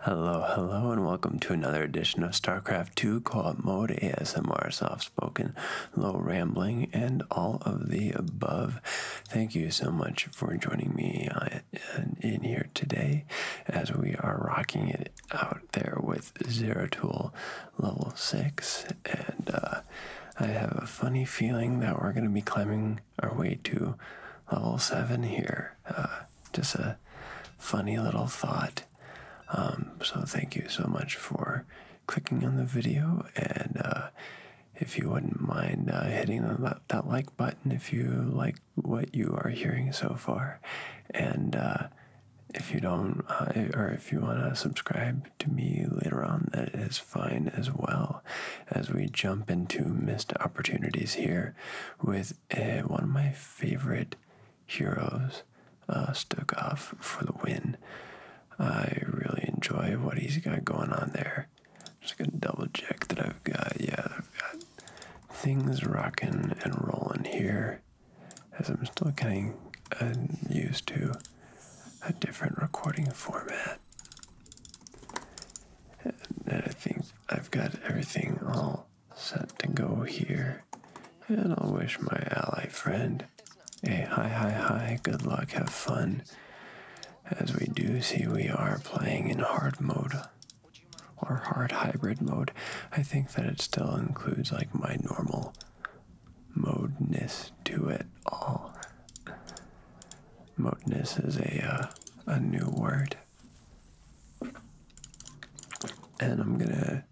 Hello, hello, and welcome to another edition of StarCraft 2 Co-op Mode ASMR Soft Spoken, Low Rambling, and all of the above. Thank you so much for joining me uh, in here today as we are rocking it out there with Zero Tool Level 6. And uh, I have a funny feeling that we're going to be climbing our way to level seven here. Uh, just a funny little thought. Um, so thank you so much for clicking on the video, and uh, if you wouldn't mind uh, hitting that, like button if you like what you are hearing so far, and if you don't, or if you want to subscribe to me later on, that is fine as well. As we jump into missed opportunities here with uh, one of my favorite heroes, uh, for the win. I really enjoy what he's got going on there. Just gonna double check that I've got, yeah, I've got things rocking and rolling here as I'm still getting uh, used to a different recording format. And I think I've got everything all set to go here. And I'll wish my ally friend a hi, hi, hi, good luck, have fun. As we do see, we are playing in hard mode or hard hybrid mode. I think that it still includes like my normal modeness to it all. Modeness is a uh, a new word and I'm gonna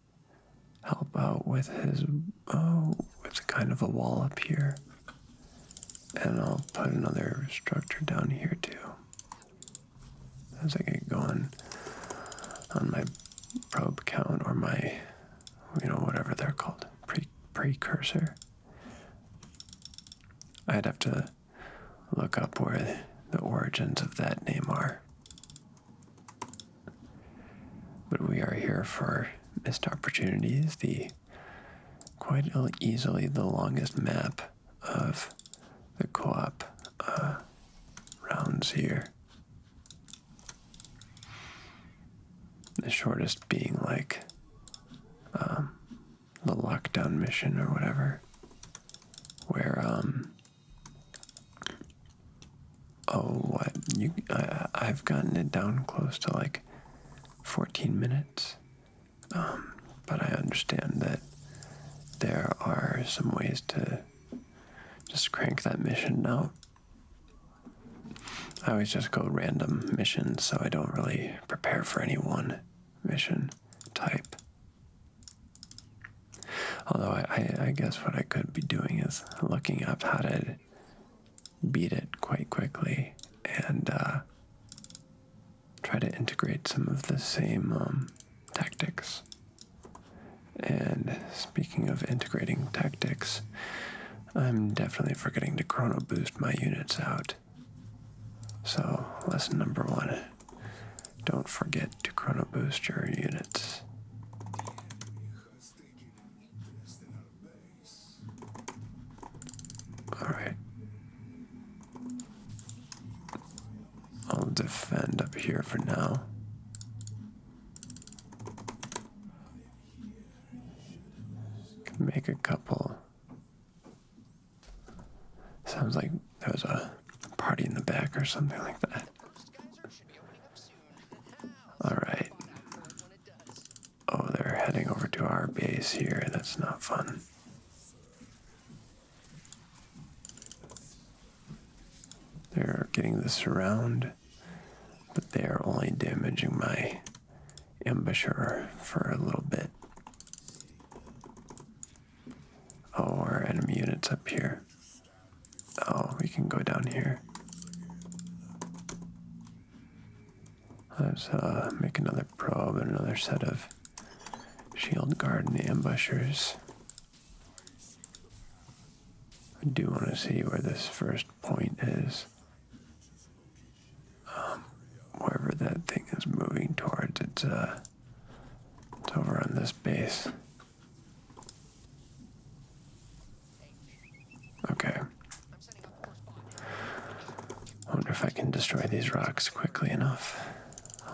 help out with his with oh, kind of a wall up here and I'll put another structure down here too as I get going on my probe count or my you know whatever they're called precursor I'd have to look up where the origins of that name are. But we are here for missed opportunities, the quite easily the longest map of the co-op uh, rounds here. The shortest being like um, the lockdown mission or whatever, where um, oh what you I, I've gotten it down close to like 14 minutes, um, but I understand that there are some ways to just crank that mission out. I always just go random missions, so I don't really prepare for any one mission type. Although I, guess what I could be doing is looking up how to beat it quite quickly and uh, try to integrate some of the same um, tactics. And speaking of integrating tactics, I'm definitely forgetting to chrono boost my units out. So, lesson number one don't forget to chrono boost your units. Alright. I'll defend up here for now. make a couple Sounds like there was a party in the back or something like that. Alright. Oh, they're heading over to our base here. That's not fun. They're getting the surround, but they are only damaging my embouchure for a little bit. Oh, our enemy unit's up here. Oh, we can go down here. Let's uh, make another probe and another set of shield guard ambushers. I do want to see where this first point is. Um, wherever that thing is moving towards, it's uh, to overrun this base. Okay. I wonder if I can destroy these rocks quickly enough.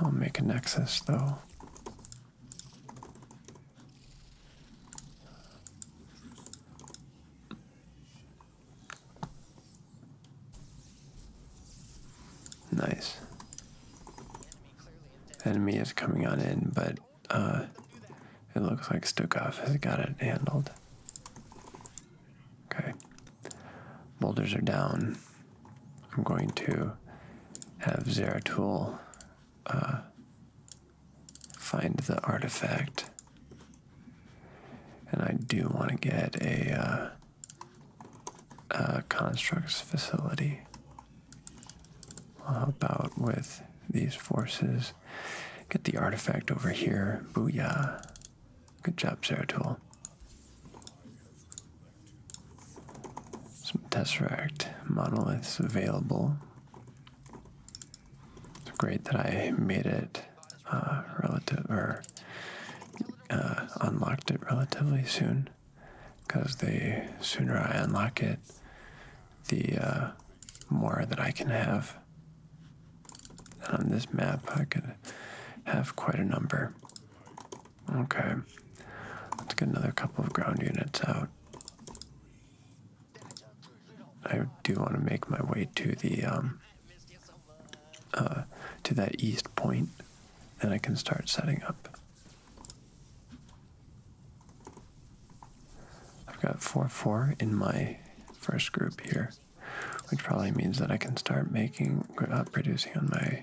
I'll make a nexus though. Nice. Enemy is coming on in, but uh, it looks like Stukov has got it handled. Okay. Boulders are down. I'm going to have Zeratul uh, find the artifact. And I do want to get a. Uh, constructs facility. I'll help out with these forces. Get the artifact over here. Booyah. Good job, Zeratul. Some Tesseract monoliths available. It's great that I made it uh, relative or uh, unlocked it relatively soon because the sooner I unlock it, the uh, more that I can have. on this map, I could have quite a number. Okay, let's get another couple of ground units out. I do want to make my way to the um, uh, to that east point, then I can start setting up. I've got 4 4 in my first group here, which probably means that I can start making uh, producing on my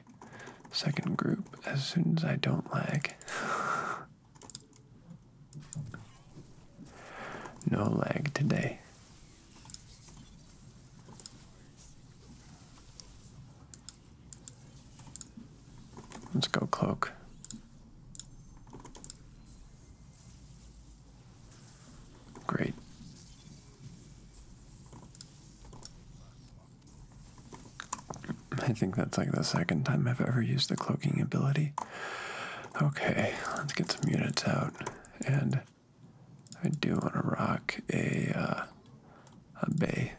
second group as soon as I don't lag. no lag today. Let's go cloak. Great. I think that's like the second time I've ever used the cloaking ability. Okay, let's get some units out and I do want to rock a uh, a bay.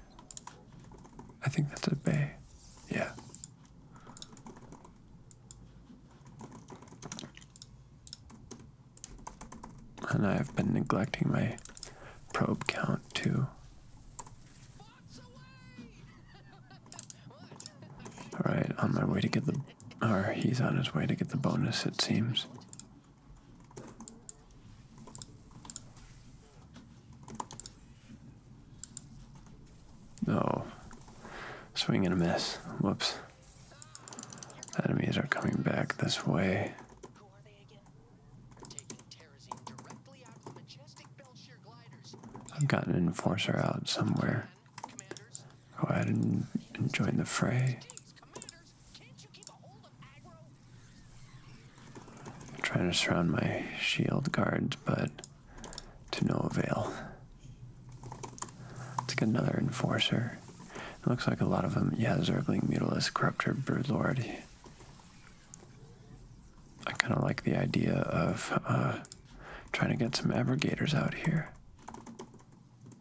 I think that's a bay. Yeah. And I've been neglecting my probe count too. All right, on my way to get the, or he's on his way to get the bonus. It seems. No. Oh, swing a miss. Whoops. Enemies are coming back this way. I've got an enforcer out somewhere. Go ahead and join the fray. I'm trying to surround my shield guards, but to no avail. Let's get another enforcer. looks like a lot of them. Yeah, Zergling, Mutalist, Corruptor, Broodlord. I kind of like the idea of uh, trying to get some aberrators out here.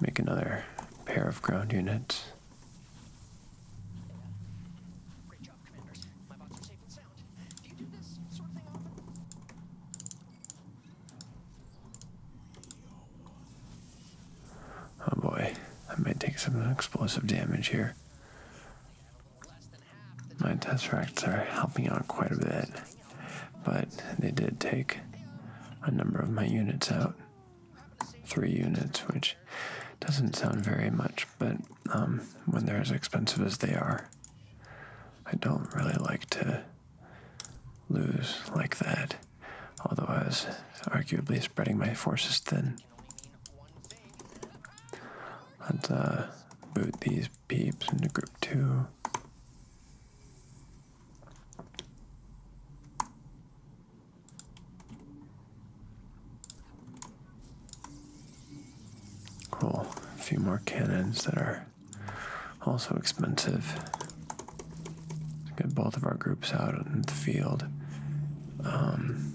Make another pair of ground units. Oh boy, I might take some explosive damage here. My tesseracts are helping out quite a bit, but they did take a number of my units out three units, which doesn't sound very much, but um, when they're as expensive as they are, I don't really like to lose like that. Although I was arguably spreading my forces thin. Let's uh, boot these peeps into group two. Cool. a few more cannons that are also expensive. Get both of our groups out in the field. Um,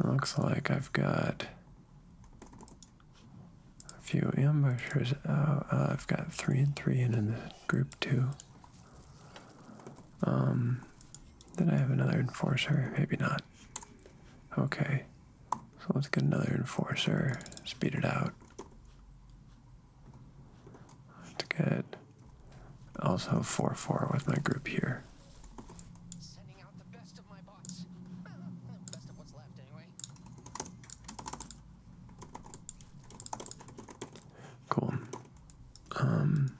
it looks like I've got a few ambushers. Oh, I've got three and three, and then group two. Um, then I have another enforcer, maybe not. Okay, so let's get another enforcer, speed it out. That's good. also 4-4 with my group here. Cool. Um,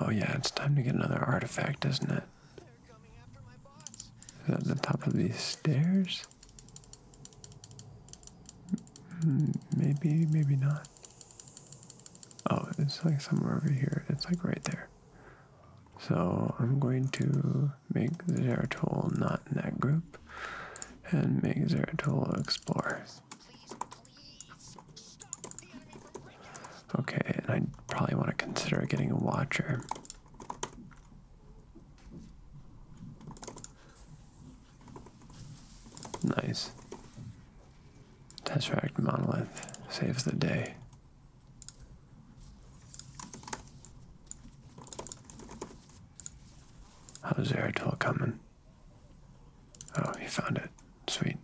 oh yeah, it's time to get another artifact, isn't it? Is that the top of these stairs? Maybe, maybe not. Oh, it's like somewhere over here. It's like right there. So I'm going to make the not in that group map and make Zeratola explore. Okay, and I probably want to consider getting a watcher. Nice. Tesseract Monolith saves the day. How's Zeratul coming? Oh, he found it. Sweet.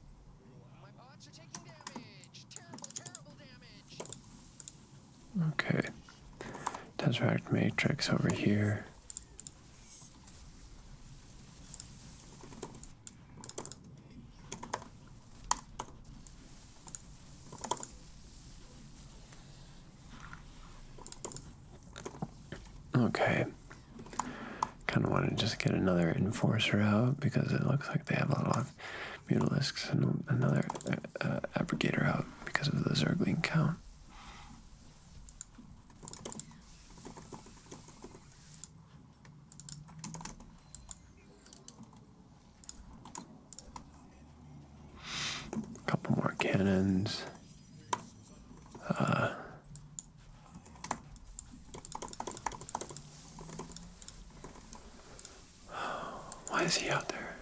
My bots are Okay. Tesseract Matrix over here. Okay. Kind of want to just get another enforcer out because it looks like they have a lot of mutalisks and another uh, uh abrogator out because of the zergling count. A couple more cannons why is he out there?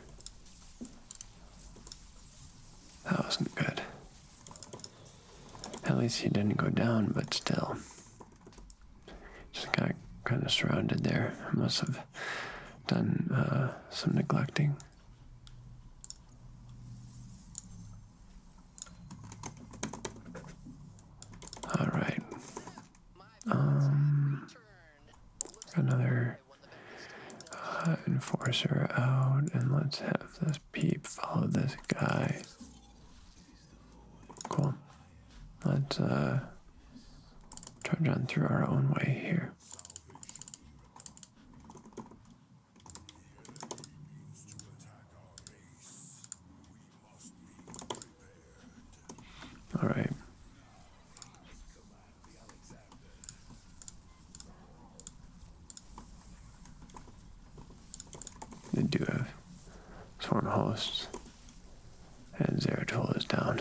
That wasn't good. At least he didn't go down, but still. Just got kind of surrounded there. must have done uh, some neglecting. All right. Um, another uh, enforcer out, and let's have this peep follow this guy. Cool. Let's uh, charge on through our own way here. All right. They do have swarm hosts, and Zeratul is down.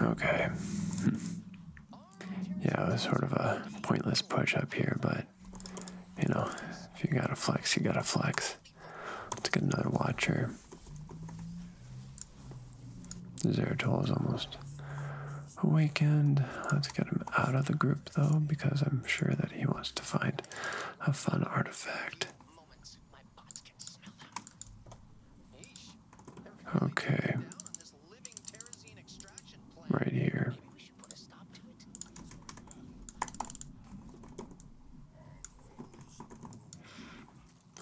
Okay. yeah, it was sort of a pointless push up here, but you know, if you got a flex, you got a flex. Let's get another watcher. Zeratul is almost awakened. Let's get him out of the group though, because I'm sure that he wants to find a fun artifact. Okay. Right here.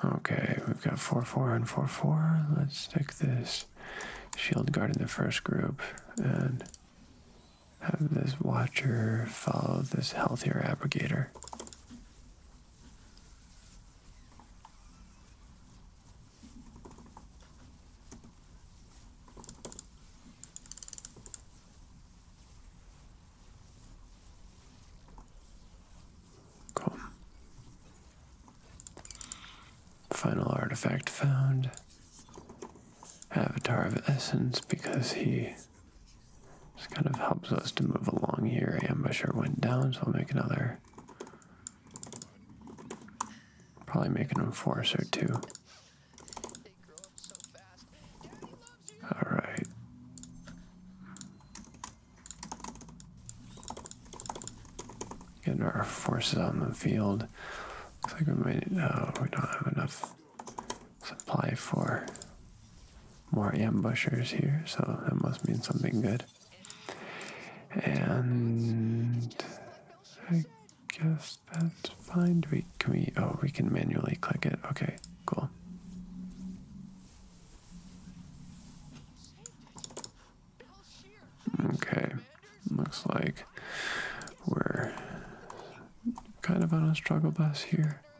Okay, we've got 4 4 and 4 4. Let's stick this shield guard in the first group and have this watcher follow this healthier abrogator. Cool. Final artifact found. Avatar of Essence because he this kind of helps us to move along here. Ambusher went down, so I'll make another. Probably make an enforcer too. Alright. Getting our forces on the field. Looks like we might. Uh, we don't have enough supply for more ambushers here, so that must mean something good. And I guess that's fine. we can we oh we can manually click it. Okay, cool. Okay. Looks like we're kind of on a struggle bus here.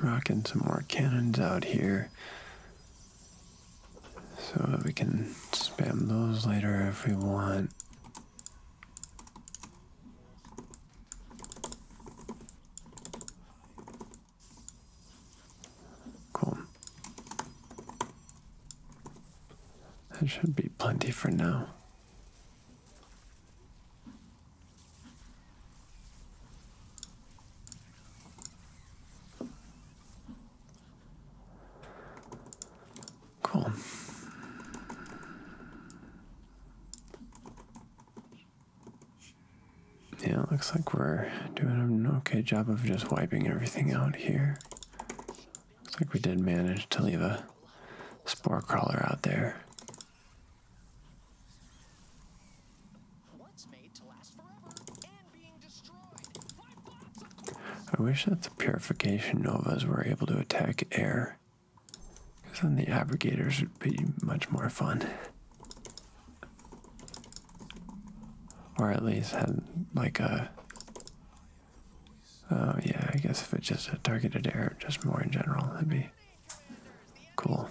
Rocking some more cannons out here so that we can spam those later if we want. Cool. That should be plenty for now. Cool. Yeah, looks like we're doing an okay job of just wiping everything out here. Looks like we did manage to leave a spore crawler out there. I wish that the purification novas were able to attack air. Because then the abrogators would be much more fun. Or at least had like a. Oh, yeah, I guess if it just targeted air, just more in general, that'd be cool.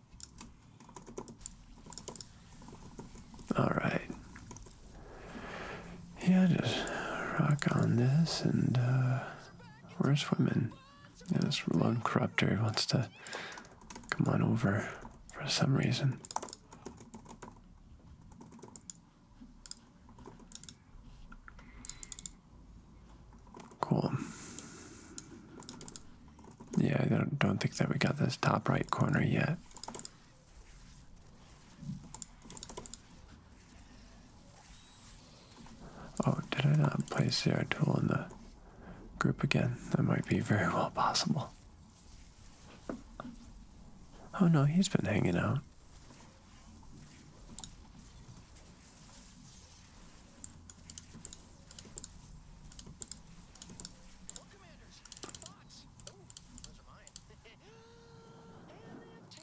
All right. Yeah, just rock on this, and uh, where's women? Yeah, this lone corrupter wants to come on over for some reason. Cool. Yeah, I don't, don't think that we got this top right corner yet. Oh, did I not place the tool in the group again? That might be very well possible. Oh no, he's been hanging out.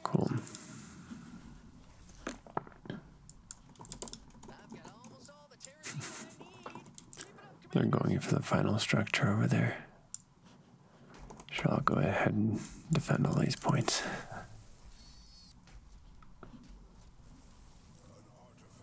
Cool. They're going for the final structure over there. Sure, I'll go ahead and defend all these points.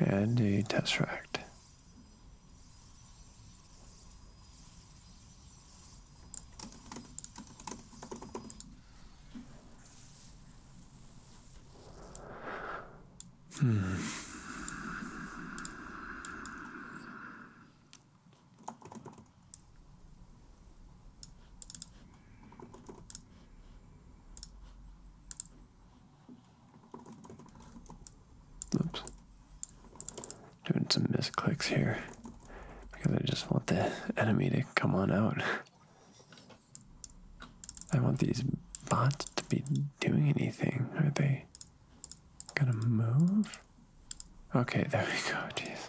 and a tesseract. Hmm. Oops. Doing some misclicks here because I just want the enemy to come on out. I want these bots to be doing anything. Are they gonna move? Okay, there we go. Jeez.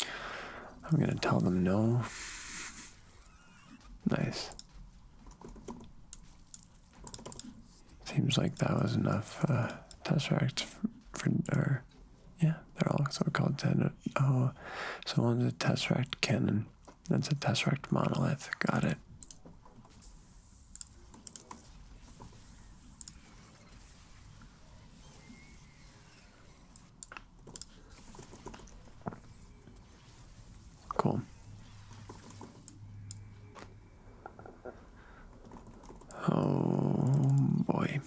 I'm going to tell them no. Nice. Seems like that was enough uh, Tesseract for, our. yeah, they're all so called ten. Oh, so one's a Tesseract cannon. That's a Tesseract monolith. Got it. Cool. Oh boy.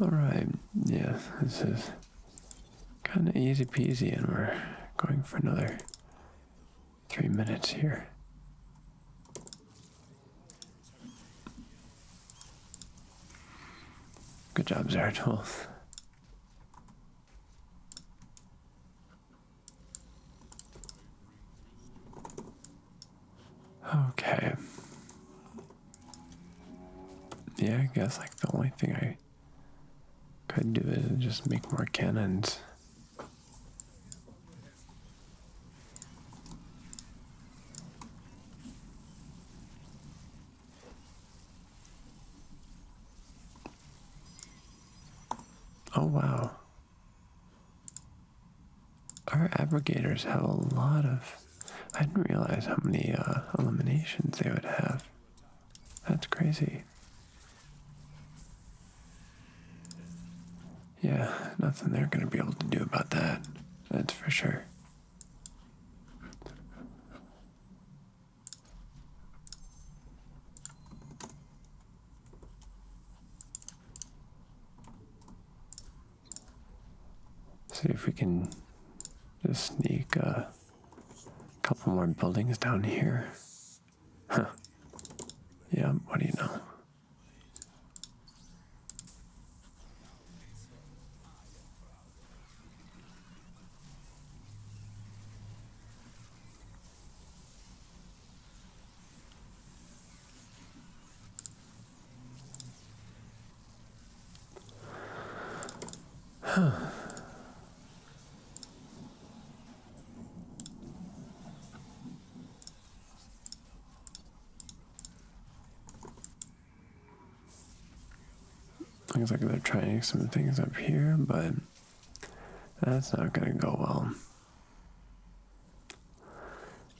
All right. Yeah, this is Kind of easy peasy, and we're going for another three minutes here. Good job, Zeratul. Okay. Yeah, I guess like the only thing I could do it just make more cannons. Oh wow. Our abrogators have a lot of I didn't realize how many uh, eliminations they would have. That's crazy. Yeah, nothing they're going to be able to do about that. That's for sure. See if we can just sneak a uh, a couple more buildings down here. Huh. Yeah, what do you know? Huh. Looks like they're trying some things up here, but that's not going to go well.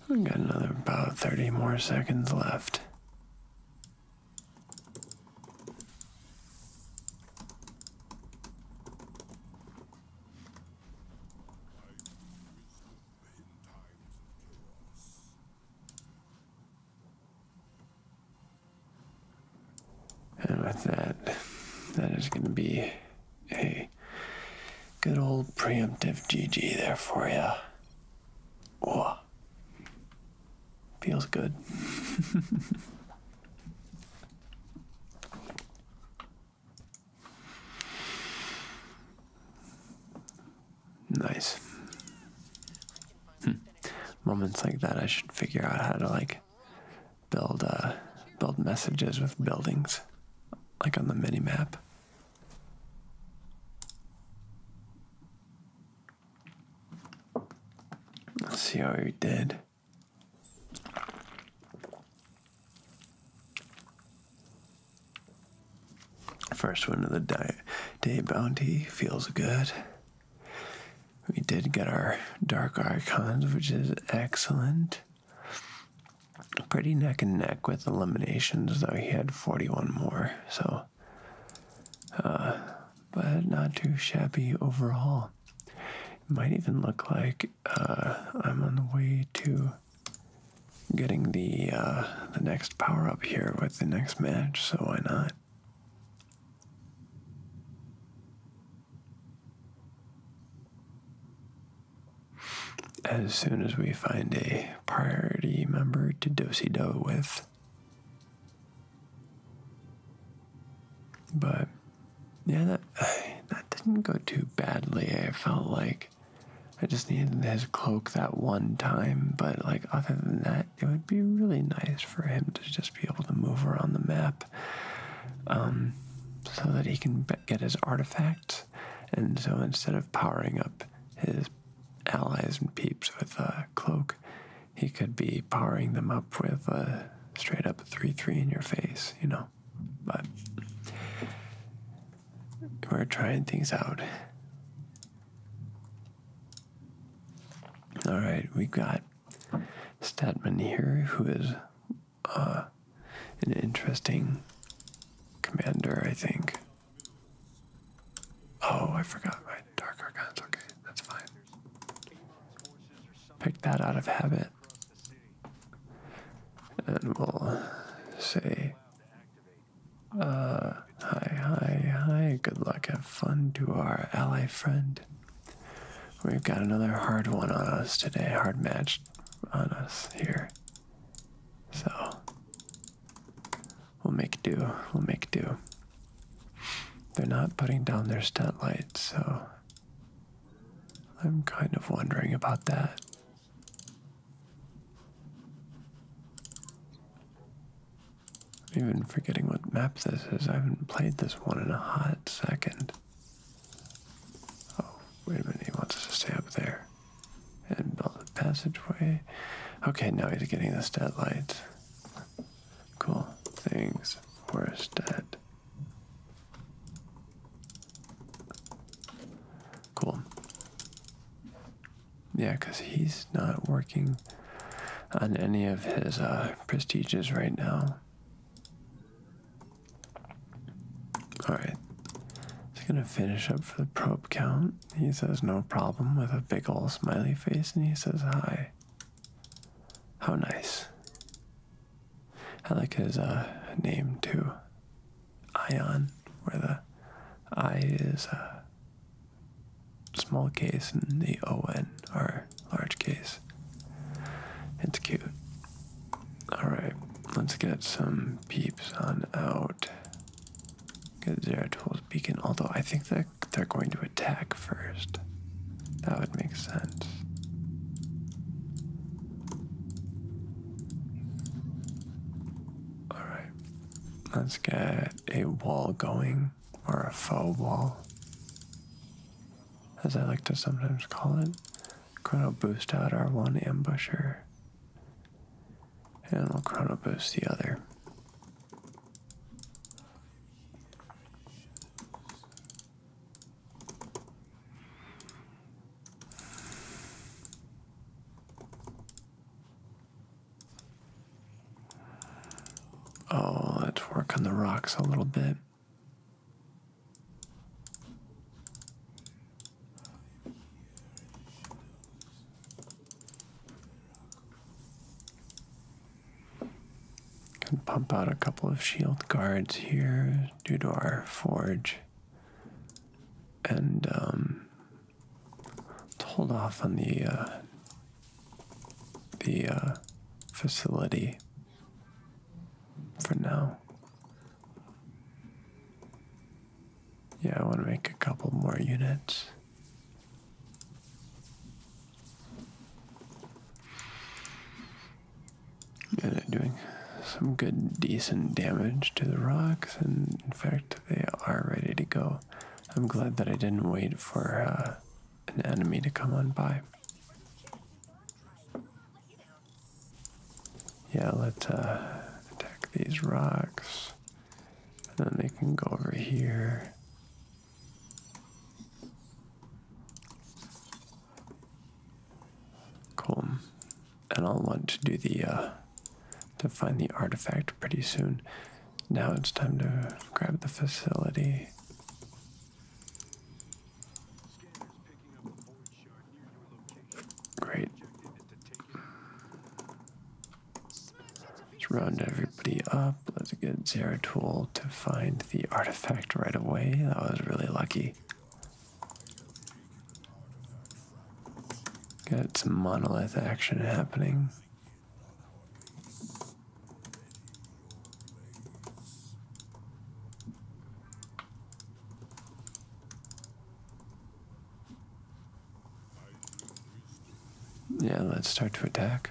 We got another about 30 more seconds left. And with that, that is going to be a good old preemptive GG there for you. Oh. Feels good. nice. Hmm. Moments like that, I should figure out how to like build uh, build messages with buildings, like on the mini map. Let's see how you did. First one of the day bounty feels good. We did get our dark icons, which is excellent. Pretty neck and neck with eliminations, though he had 41 more, so uh, but not too shabby overall. It might even look like uh, I'm on the way to getting the uh, the next power up here with the next match. So why not? As soon as we find a priority member to do do with, but yeah, that, that didn't go too badly. I felt like I just needed his cloak that one time, but like other than that, it would be really nice for him to just be able to move around the map um, so that he can get his artifacts. And so instead of powering up his allies and peeps with a cloak, he could be powering them up with a straight up 3 3 in your face, you know. But we're trying things out. All right, we've got Statman here, who is uh, an interesting commander, I think. Oh, I forgot my Alright, Dark okay, that's fine. Pick that out of habit. And we'll say, uh, hi, hi, hi, good luck, have fun to our ally friend. We've got another hard one on us today, hard match on us here. So, we'll make do, we'll make do. They're not putting down their stat lights, so I'm kind of wondering about that. I'm even forgetting what map this is. I haven't played this one in a hot second. Oh, wait a minute, he wants us to stay up there and build a passageway. Okay, now he's getting the stat lights cool things for us to Cool. Yeah, because he's not working on any of his uh, prestiges right now. Alright. He's gonna finish up for the probe count. He says no problem with a big old smiley face and he says hi. How nice. I like his uh, name too. Ion, where the I is a uh, small case and the O-N are large case. It's cute. Alright, let's get some peeps on out. Get Zeratul beacon, although I think they're they're, going to attack first. That would make sense. Alright, let's get a wall going, or a faux wall, as I like to sometimes call it. Chrono boost out our one ambusher, and we'll chrono boost the other. Oh, let's work on the rocks a little bit. Could pump out a couple of shield guards here due to our forge. And um, let's hold off on the uh, the uh, facility for now. Yeah, I want to make a couple more units they're doing some good, decent damage to the rocks, and in fact, they are ready to go. I'm glad that I didn't wait for uh, an enemy to come on by. Yeah, let's uh, attack these rocks. And then they can go over here. Cool. And I'll want to do the uh, to find the artifact pretty soon. Now it's time to grab the facility. Great. Let's round everybody up. Let's get Zeratul to find the artifact right away. That was really lucky. Got some monolith action happening. Yeah, let's start to attack.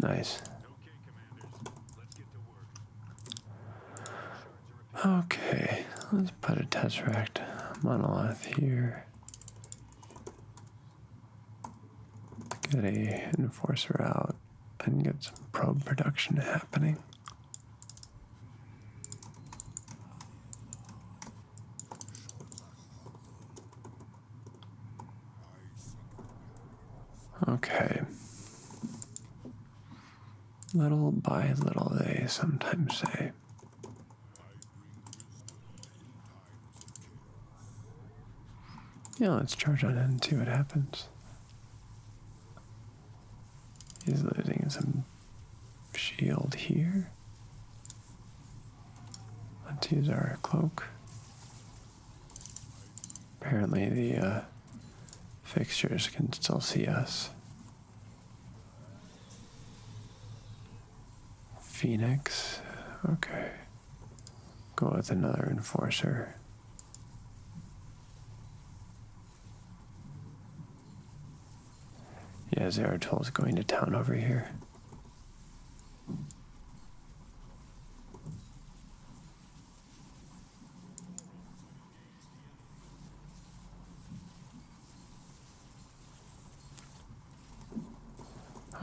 Nice. Okay, let's put a Tesseract monolith here. Get a enforcer out and get some probe production happening. Okay. Little by little, they sometimes say. Yeah, let's charge on in and see what happens. He's losing some shield here. Let's use our cloak. Apparently, the uh, fixtures can still see us. Phoenix. Okay. Go with another enforcer. Yeah, Zeratul is going to town over here.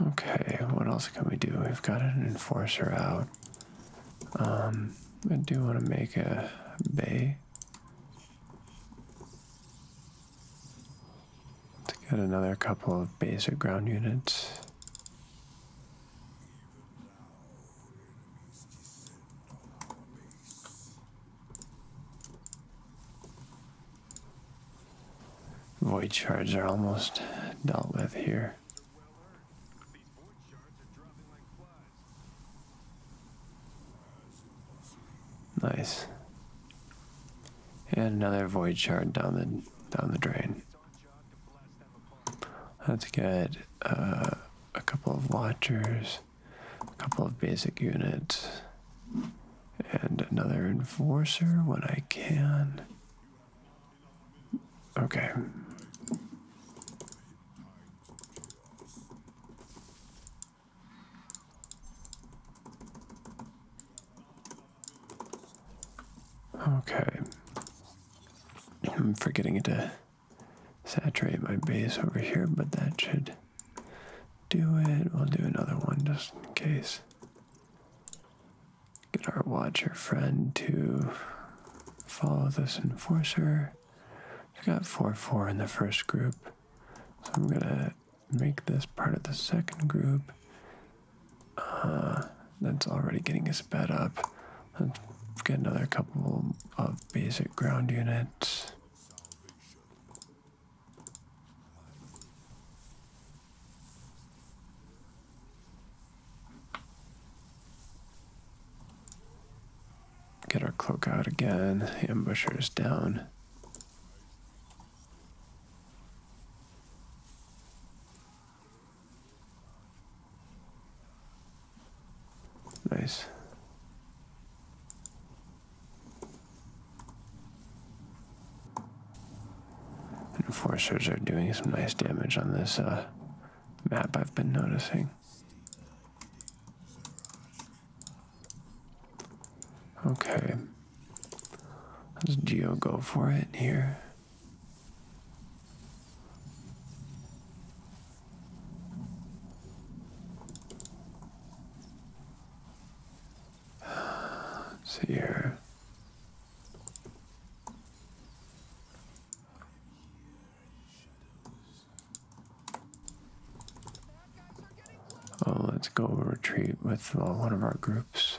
Okay, what else can we do? We've got an enforcer out. Um, I do want to make a bay to get another couple of basic ground units. Void shards are almost dealt with here. Nice. And another void shard down the down the drain. Let's get uh, a couple of watchers, a couple of basic units, and another enforcer when I can. Okay. Okay. I'm forgetting to saturate my base over here, but that should do it. We'll do another one just in case. Get our watcher friend to follow this enforcer. we got 4 4 in the first group. So I'm going to make this part of the second group. Uh, that's already getting us bed up. get another couple of basic ground units. Get our cloak out again, ambushers down. Nice. The enforcers are doing some nice damage on this uh, map I've been noticing. Okay. Let's Geo go for it here. Let's see here. Oh, let's go retreat with uh, one of our groups.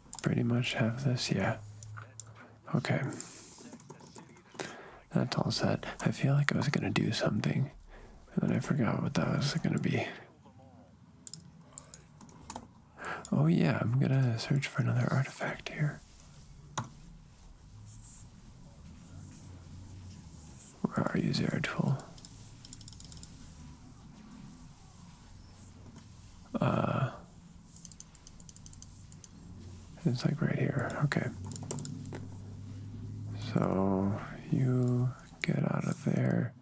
pretty much have this? Yeah. Okay. That's all set. I feel like I was going to do something, and then I forgot what that was going to be. Oh, yeah, I'm going to search for another artifact here. Where are you, Zeratul? Uh, it's like right here. Okay. So you get out of there.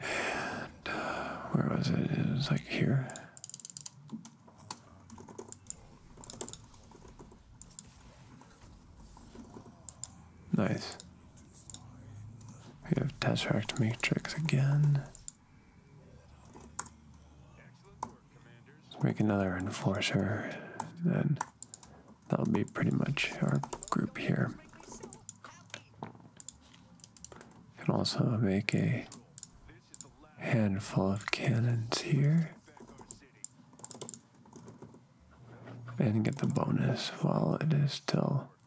And uh, where was it? It was like here. Nice. We have Tesseract Matrix again make another enforcer, then that'll be pretty much our group here. Can also make a handful of cannons here and get the bonus while it is still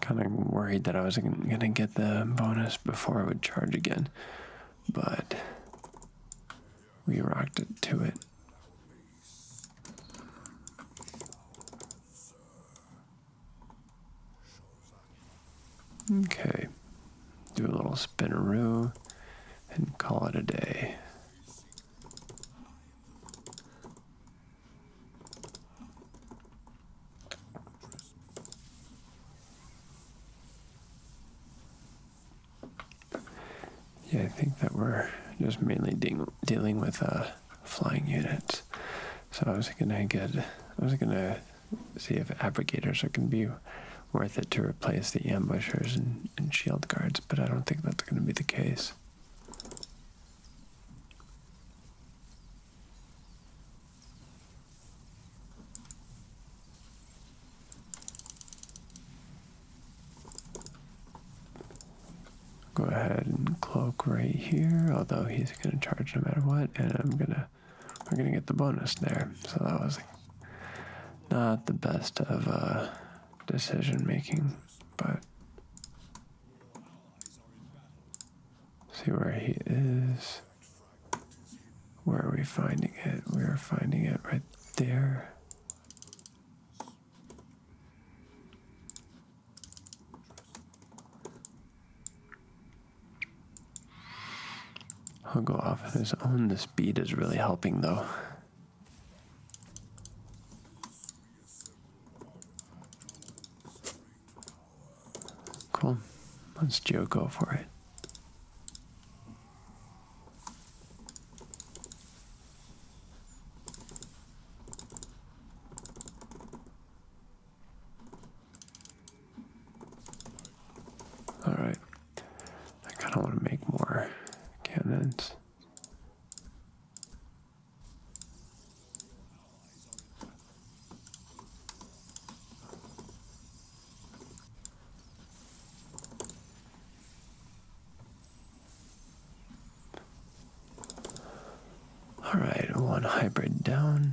Kind of worried that I wasn't gonna get the bonus before I would charge again, but we rocked it to it. Okay, do a little spinaroo and call it a day. Yeah, I think that we're just mainly dealing with uh, flying units. So I was gonna get, I was gonna see if abrogators are gonna be worth it to replace the ambushers and, shield guards, but I don't think that's going to be the case. Go ahead and cloak right here, although he's going to charge no matter what, and I'm going to we're going to get the bonus there. So that was not the best of uh, decision making, but see where he is. Where are we finding it? We are finding it right there. I'll go off on his own. The speed is really helping, though. Cool. Let's Joe go for it. All right. I kind of want to make more cannons. All right, one hybrid down.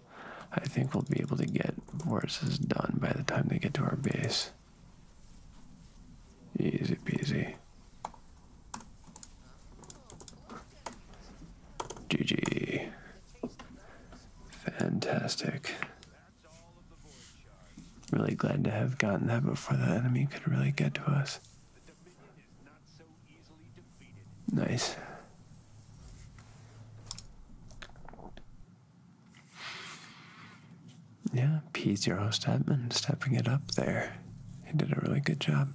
I think we'll be able to get Boris's done by the time they get to our base. Easy peasy. GG. Fantastic. Really glad to have gotten that before the enemy could really get to us. Nice. Yeah, P host Edmund stepping it up there. He did a really good job.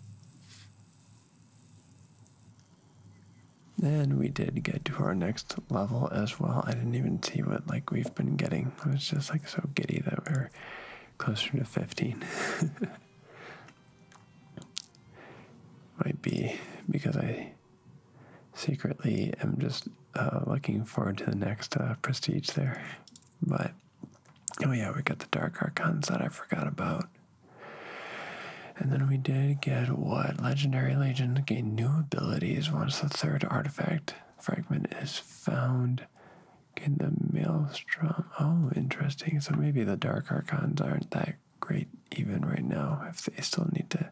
Then we did get to our next level as well. I didn't even see what like we've been getting. I was just like so giddy that we're closer to 15. Might be because I secretly i am just uh, looking forward to the next uh, prestige there. But oh yeah, we got the dark archons that I forgot about. And then we did get what legendary legions gain new abilities once the third artifact fragment is found. in the maelstrom. Oh, interesting. So maybe the dark archons aren't that great even right now if they still need to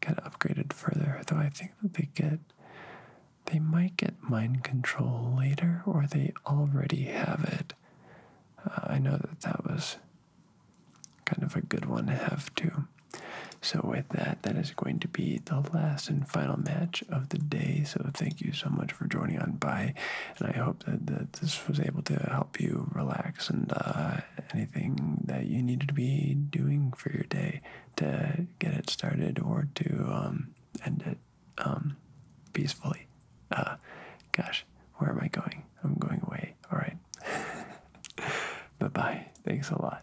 get upgraded further. Though I think that they get they might get mind control later or they already have it. Uh, I know that that was kind of a good one to have too. So with that, that is going to be the last and final match of the day. So thank you so much for joining on by, and I hope that, that this was able to help you relax and uh, anything that you needed to be doing for your day to get it started or to um, end it um, peacefully. Uh, gosh, where am I going? I'm going away. All right. bye bye. Thanks a lot.